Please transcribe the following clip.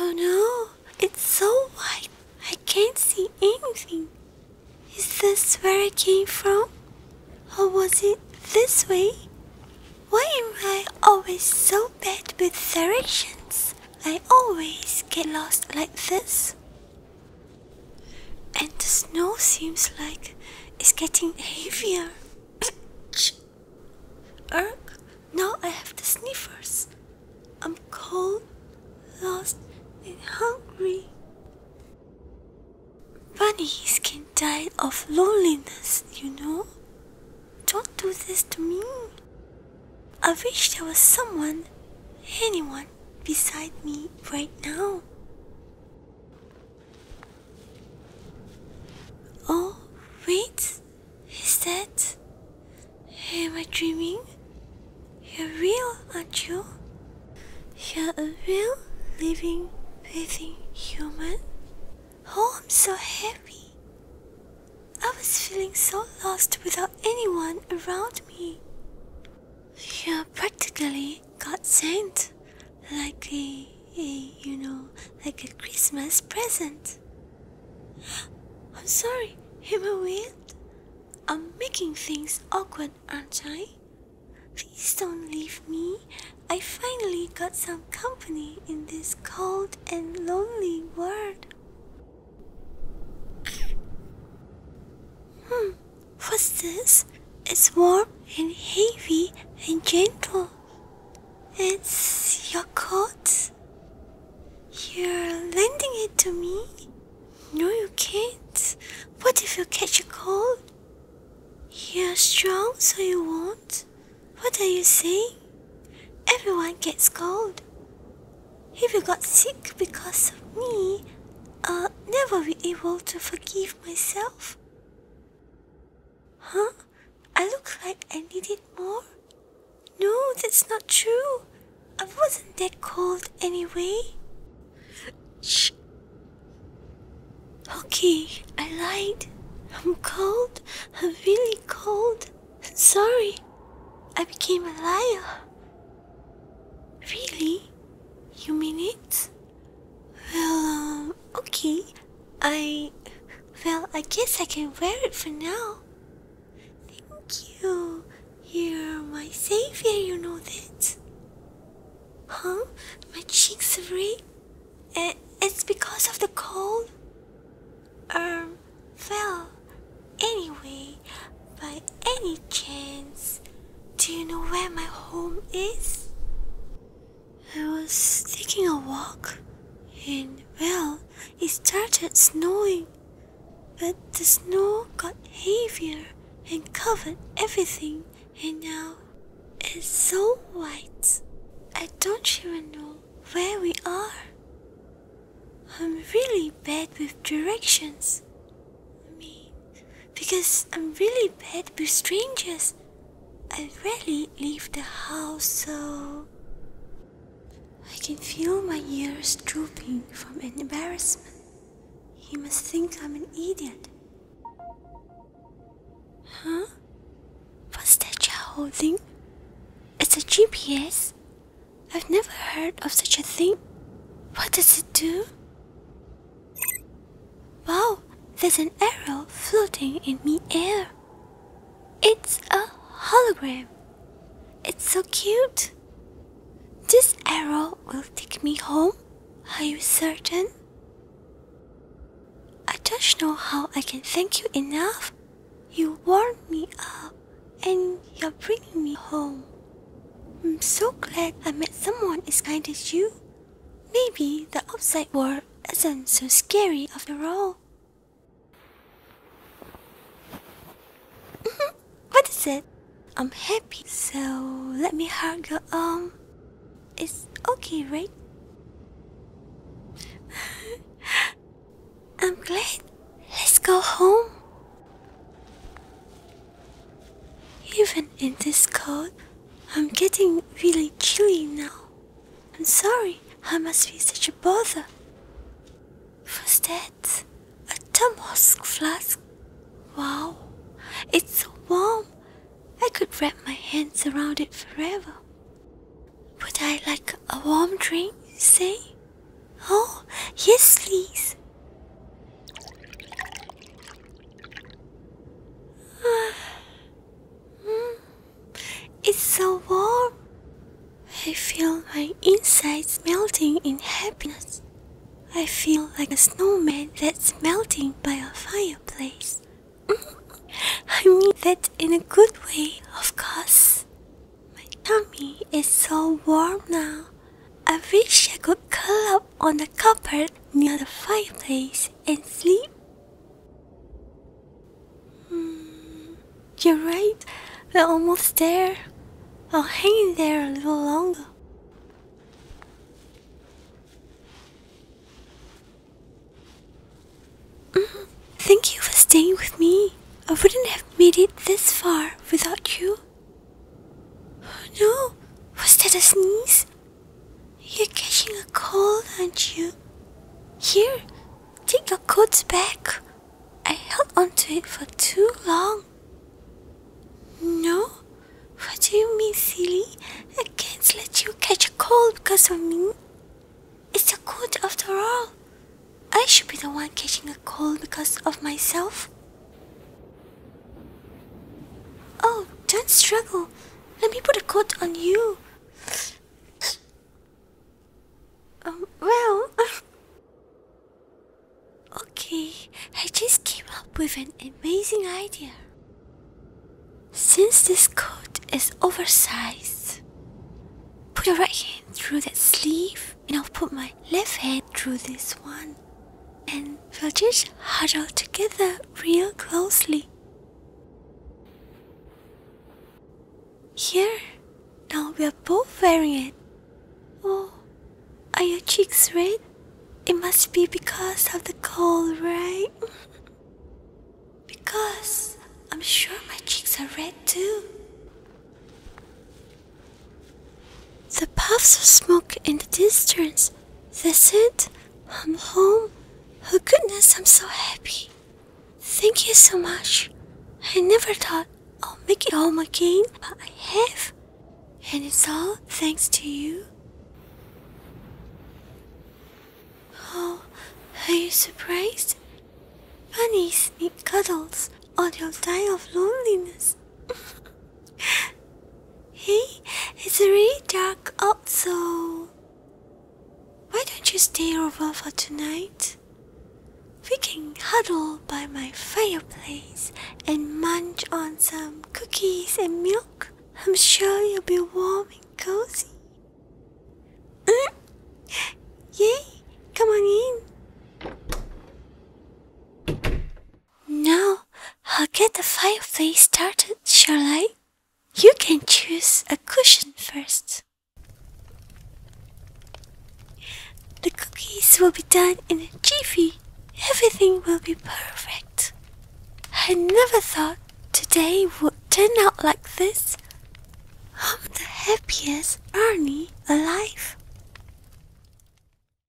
Oh no, it's so white. I can't see anything. Is this where I came from? Or was it this way? Why am I always so bad with directions? I always get lost like this. And the snow seems like it's getting heavier. Erk, now I have the sniffers. I'm cold, lost, and hungry. Bunnies can die of loneliness, you know. Don't do this to me. I wish there was someone, anyone, beside me right now. Oh, wait. Is that. Am I dreaming? You're real, aren't you? You're a real, living, breathing human? Oh, I'm so happy. I was feeling so lost without anyone around me. You're practically God sent, like a you know, like a Christmas present. I'm sorry, am I I'm making things awkward, aren't I? Please don't leave me. I finally got some company in this cold and lonely world. hmm, what's this? It's warm and heavy and gentle. It's your coat? You're lending it to me? No, you can't. What if you catch a cold? You're strong, so you won't. What are you saying? Everyone gets cold. If you got sick because of me, I'll never be able to forgive myself. Huh? I look like I needed more. No, that's not true. I wasn't that cold anyway. Shh. Okay, I lied. I'm cold. I'm really cold. I'm sorry. I became a liar. Really? You mean it? Well, uh, okay. I. Well, I guess I can wear it for now. Thank you. You're my savior, you know that. Huh? My cheeks are red. Eh, it's because of the cold? Um, well, anyway, by any chance, do you know where my home is? I was taking a walk, and well, it started snowing. But the snow got heavier and covered everything, and now it's so white. I don't even know where we are. I'm really bad with directions. I mean, because I'm really bad with strangers I rarely leave the house, so I can feel my ears drooping from embarrassment. He must think I'm an idiot. Huh? What's that you're holding? It's a GPS? I've never heard of such a thing. What does it do? Wow, there's an arrow floating in mid-air. It's a hologram. It's so cute. This arrow will take me home. Are you certain? I don't know how I can thank you enough. You warmed me up and you're bringing me home. I'm so glad I met someone as kind as you. Maybe the Upside world war isn't so scary after all. Mm-hmm. what is it? I'm happy, so let me hug your arm. It's okay, right? I'm glad. Let's go home. Even in this cold, I'm getting really chilly now. I'm sorry I must be such a bother. What's that? A Tomosk flask? Wow, it's so warm. I could wrap my hands around it forever. Would I like a warm drink, say? Oh, yes, please. It's so warm. I feel my insides melting in happiness. I feel like a snowman that's melting by a fireplace. I mean that in a good way, of course. My tummy is so warm now. I wish I could curl up on the carpet near the fireplace and sleep? Hmm, you're right, we're almost there. I'll hang in there a little longer. Mm-hmm. thank you for staying with me. I wouldn't have made it this far without you. No, was that a sneeze? You're catching a cold, aren't you? Here, take your coat back. I held onto it for too long. No? What do you mean, silly? I can't let you catch a cold because of me. It's a coat after all. I should be the one catching a cold because of myself. Oh, don't struggle. Let me put a coat on you. Um, well... okay, I just came up with an amazing idea. Since this coat is oversized, put your right hand through that sleeve and I'll put my left hand through this one and we'll just huddle together real closely. Here, now we are both wearing it. Oh, are your cheeks red? It must be because of the cold, right? because I'm sure my cheeks are red too. The puffs of smoke in the distance. That's it. I'm home. Oh goodness, I'm so happy. Thank you so much. I never thought i would make it home again, but I have. And it's all thanks to you. Oh, are you surprised? Bunnies need cuddles or they'll die of loneliness hey, it's really dark also. Why don't you stay over for tonight? We can huddle by my fireplace and munch on some cookies and milk. I'm sure you'll be warm and cozy. Mm. Yay, come on in. No. I'll get the fireplace started, shall I? You can choose a cushion first. The cookies will be done in a jiffy. Everything will be perfect. I never thought today would turn out like this. I'm the happiest Ernie alive.